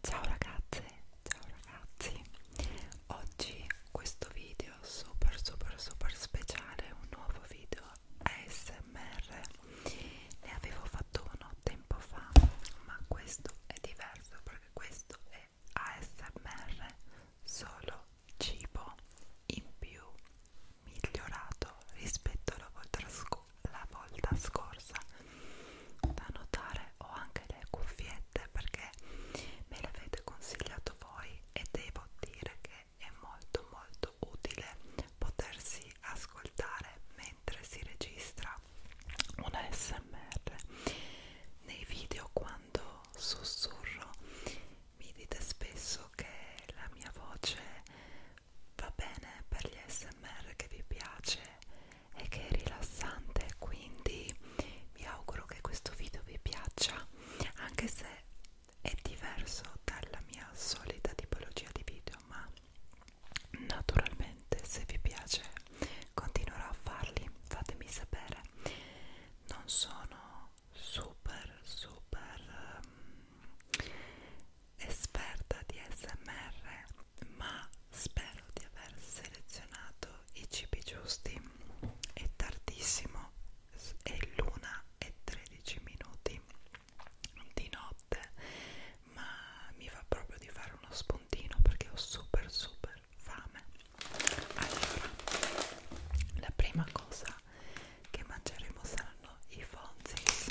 Ciao ragazze, ciao ragazzi. Oggi questo video super super super speciale, un nuovo video ASMR. Ne avevo fatto uno tempo fa, ma questo è diverso perché questo è ASMR solo cibo in più migliorato rispetto alla volta, alla volta scorsa da notare ho anche le cuffiette perché me le avete consigliato voi e devo dire che è molto molto utile potersi ascoltare mentre si registra un ASMR nei video quando sussurro mi dite spesso che la mia voce va bene per gli ASMR che vi piace e che è rilassante quindi vi auguro che questo video vi piaccia anche se è diverso dalla mia solita tipologia di video ma naturalmente se vi piace continuerò a farli fatemi sapere non sono super super um, esperta di smr ma spero di aver selezionato i cibi giusti è tardissimo è l'una e 13 minuti di notte ma mi va proprio di fare uno spuntino perché ho super super fame allora la prima cosa che mangeremo saranno i fonzis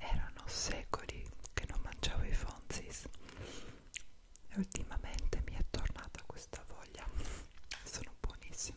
Erano secoli che non mangiavo i Fonzis e ultimamente mi è tornata questa voglia. Sono buonissimi.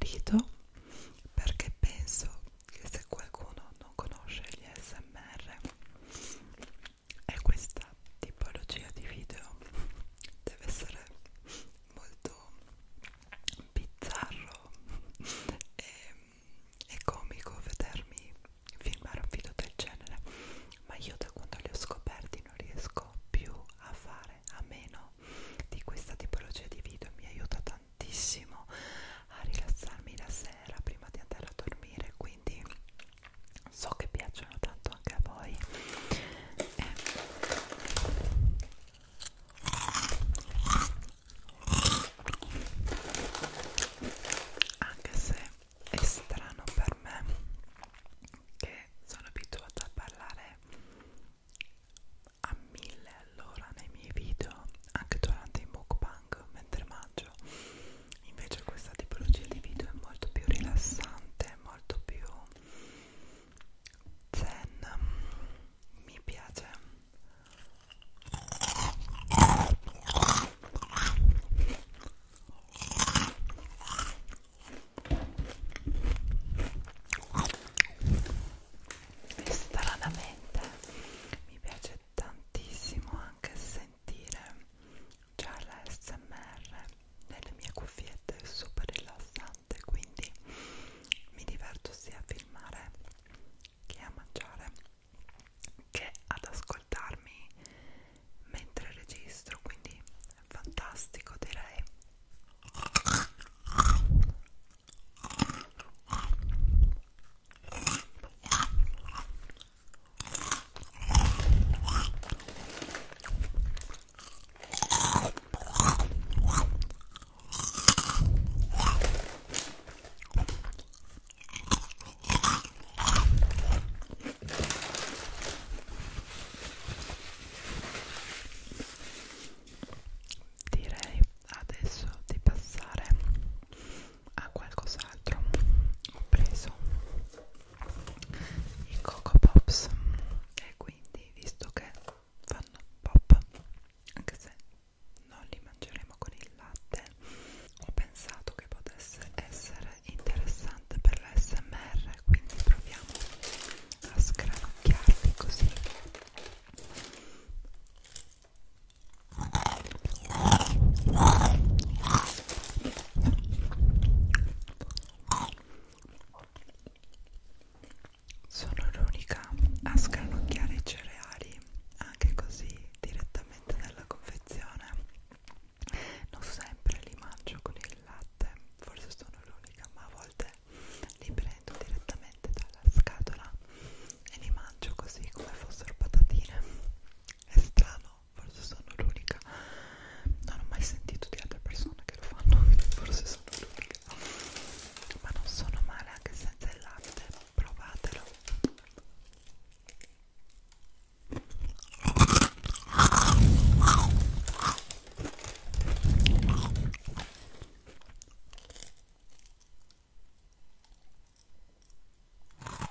Rido perché penso che se qualcuno non conosce gli SMR è questa tipologia di video deve essere molto bizzarro e, e comico vedermi filmare un video del genere ma io da quando li ho scoperti non riesco più a fare a meno di questa tipologia di video mi aiuta tantissimo a rilassarmi la sera prima di andare a dormire quindi so che piacciono tanto anche a voi eh. anche se è strano per me che sono abituata a parlare a mille all'ora nei miei video anche durante i mukbang mentre mangio invece questa tipologia di video è molto più rilassante molto più zen mi piace e stranamente mi piace tantissimo anche sentire c'è l'ASMR nelle mie cuffiette è super rilassante quindi mi diverto sia a filmare che a mangiare che ad ascoltarmi mentre registro quindi è fantastico direi Direi adesso di passare a qualcos'altro. Ho preso i Coco Pops e quindi visto che fanno pop anche se non li mangeremo con il latte ho pensato che potesse essere interessante per l'SMR quindi proviamo a scranocchiarli così sono l'unica a scranocchiare i cereali anche così direttamente dalla confezione. Non sempre li mangio con il latte, forse sono l'unica, ma a volte li prendo direttamente dalla scatola e li mangio così come fossero patatine. È strano, so, forse sono l'unica. Non ho mai sentito di altre persone che lo fanno, forse sono l'unica. Ma non sono male anche senza il latte, provatelo.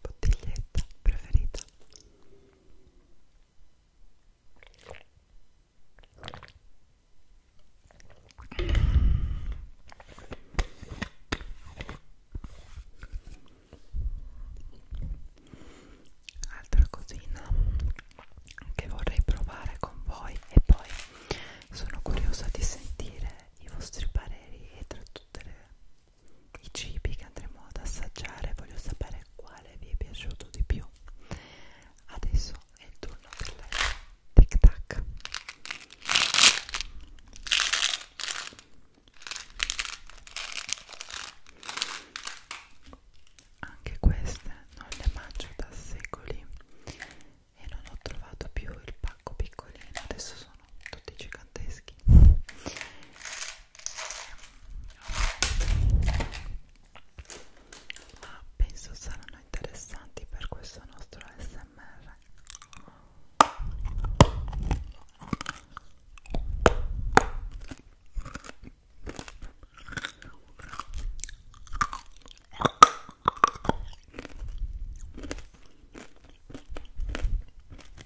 bottiglietta preferita Altra cosina che vorrei provare con voi e poi sono curiosa di sentire i vostri pareri e tra tutte le i cibi che andremo ad assaggiare voglio sapere quale vi è piaciuto di più adesso è il turno del tic tac anche queste non le mangio da secoli e non ho trovato più il pacco piccolino adesso sono sono tutti giganteschi ma penso saranno interessanti per questo nostro smr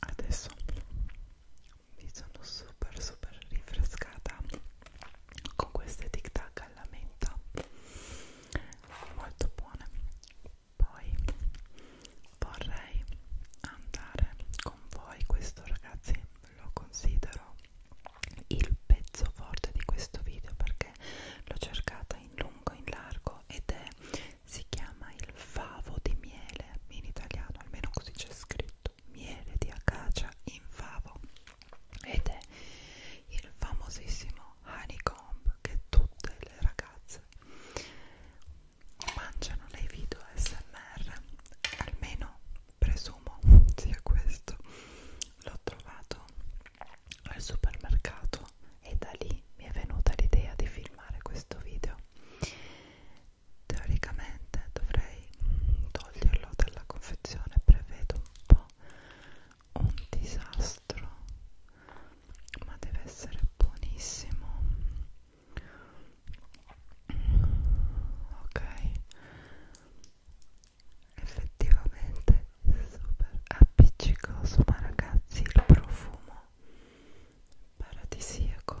Adesso mi sono super super rinfrescata con queste tic tac alla menta molto buone poi vorrei andare con voi questo ragazzi lo considero il pezzo forte di questo video perché l'ho cercata in lungo in largo ed è si chiama il favo di miele in italiano almeno così c'è scritto miele di acacia in favo ed è il famosissimo honeycomb che tutte le ragazze ASMR mangiano nei video ASMR almeno presumo sia questo l'ho trovato al supermercato e da lì mi è venuta l'idea di filmare questo video teoricamente dovrei toglierlo dalla confezione prevedo un po' un disastro ma deve essere buonissimo ok effettivamente è super appiccicoso ma ragazzi il profumo paradisiaco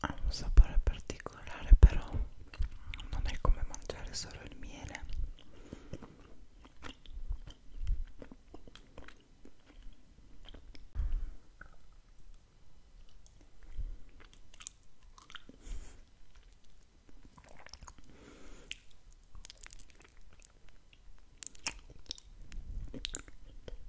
ha un sapore particolare però non è come mangiare solo il miele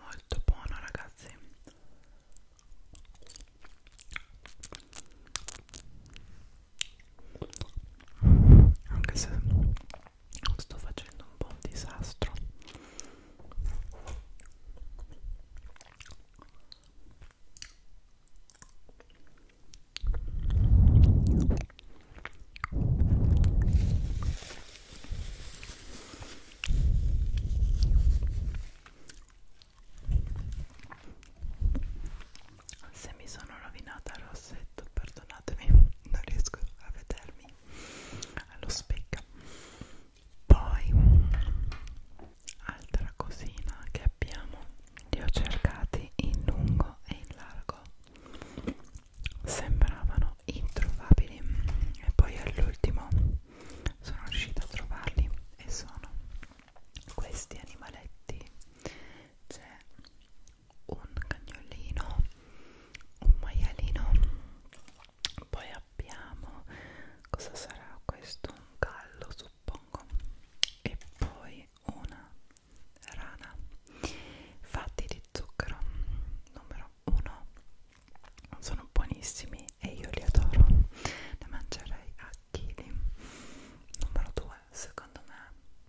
molto buono ragazzi anche se sto facendo un po' un disastro se mi sono rovinata il rossetto, perdonatemi, non riesco a vedermi allo specchio. Poi, altra cosina che abbiamo, li ho cercati in lungo e in largo sembravano introvabili e poi all'ultimo sono riuscita a trovarli e sono questi animaletti c'è un cagnolino un maialino poi abbiamo cosa sarà questo un gallo suppongo e poi una rana fatti di zucchero numero 1 sono buonissimi e io li adoro ne mangerei a chili numero 2 secondo me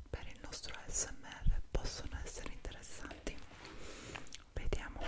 per il nostro smr possono essere interessanti vediamo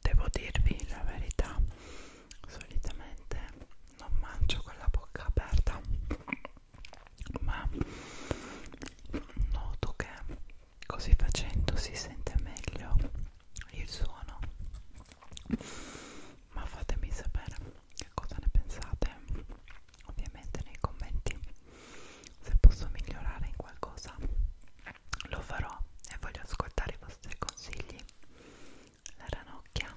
Devo dirvi la verità, solitamente non mangio con la bocca aperta, ma noto che così facendo si sente meglio il suono ma fatemi sapere che cosa ne pensate ovviamente nei commenti se posso migliorare in qualcosa lo farò e voglio ascoltare i vostri consigli la ranocchia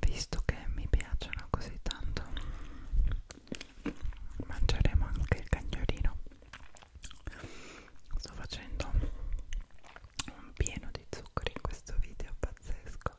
visto che mi piacciono così tanto mangeremo anche il cagnolino sto facendo un pieno di zuccheri in questo video pazzesco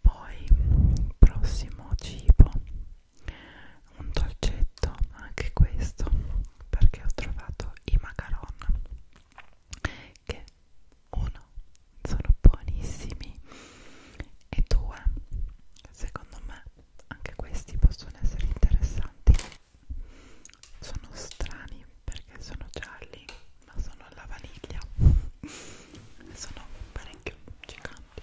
Poi prossimo cibo un dolcetto anche questo perché ho trovato i macaron che uno sono buonissimi e due secondo me anche questi possono essere interessanti sono strani perché sono gialli ma sono alla vaniglia sono parecchio giganti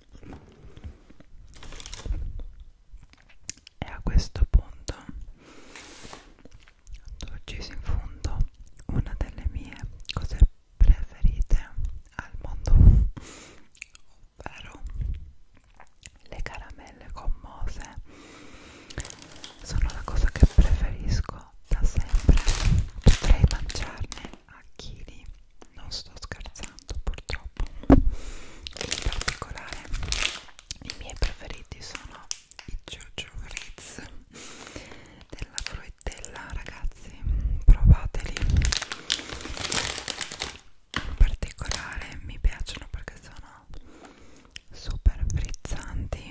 e a questo punto ho ucciso in fondo una delle mie cose preferite al mondo ovvero le caramelle gommose sono la cosa che preferisco da sempre potrei mangiarne a chili non sto scherzando purtroppo in particolare i miei preferiti sono i jojo ritz della fruttella ragazzi provateli in particolare mi piacciono perché sono super frizzanti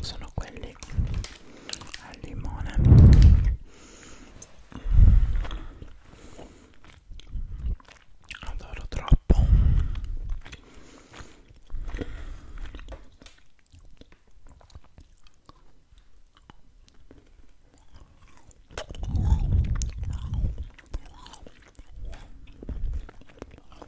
sono quelli al limone adoro troppo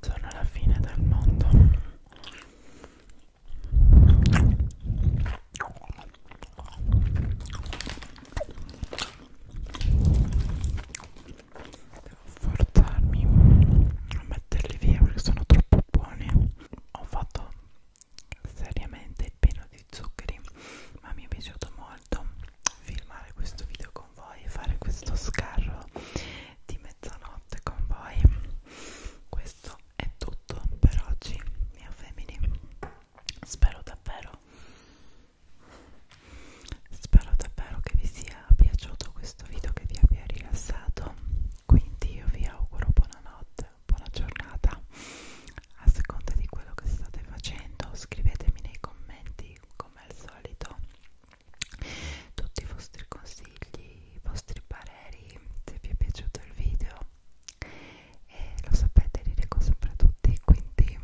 Sono alla fine del mondo. Devo forzarmi a metterli via perché sono troppo buoni. Ho fatto seriamente pieno di zuccheri, ma mi è piaciuto molto filmare questo video con voi e fare questo scarro di mezzanotte con voi. Questo è tutto per oggi, mia family spero davvero spero davvero che vi sia piaciuto questo video che vi abbia rilassato quindi io vi auguro buonanotte buona giornata a seconda di quello che state facendo scrivetemi nei commenti come al solito tutti i vostri consigli i vostri pareri se vi è piaciuto il video e lo sapete li leggo sempre tutti quindi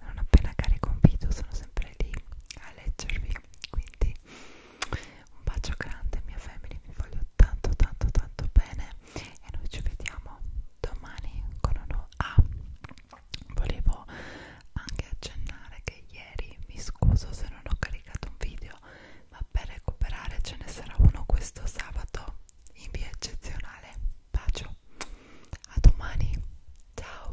non appena carico un video sono sempre lì a leggervi quindi un bacio grande mia family vi voglio tanto tanto tanto bene e noi ci vediamo domani con uno A ah, volevo anche accennare che ieri mi scuso se non ho caricato un video ma per recuperare ce ne sarà uno questo sabato in via eccezionale. Bacio, a domani, ciao.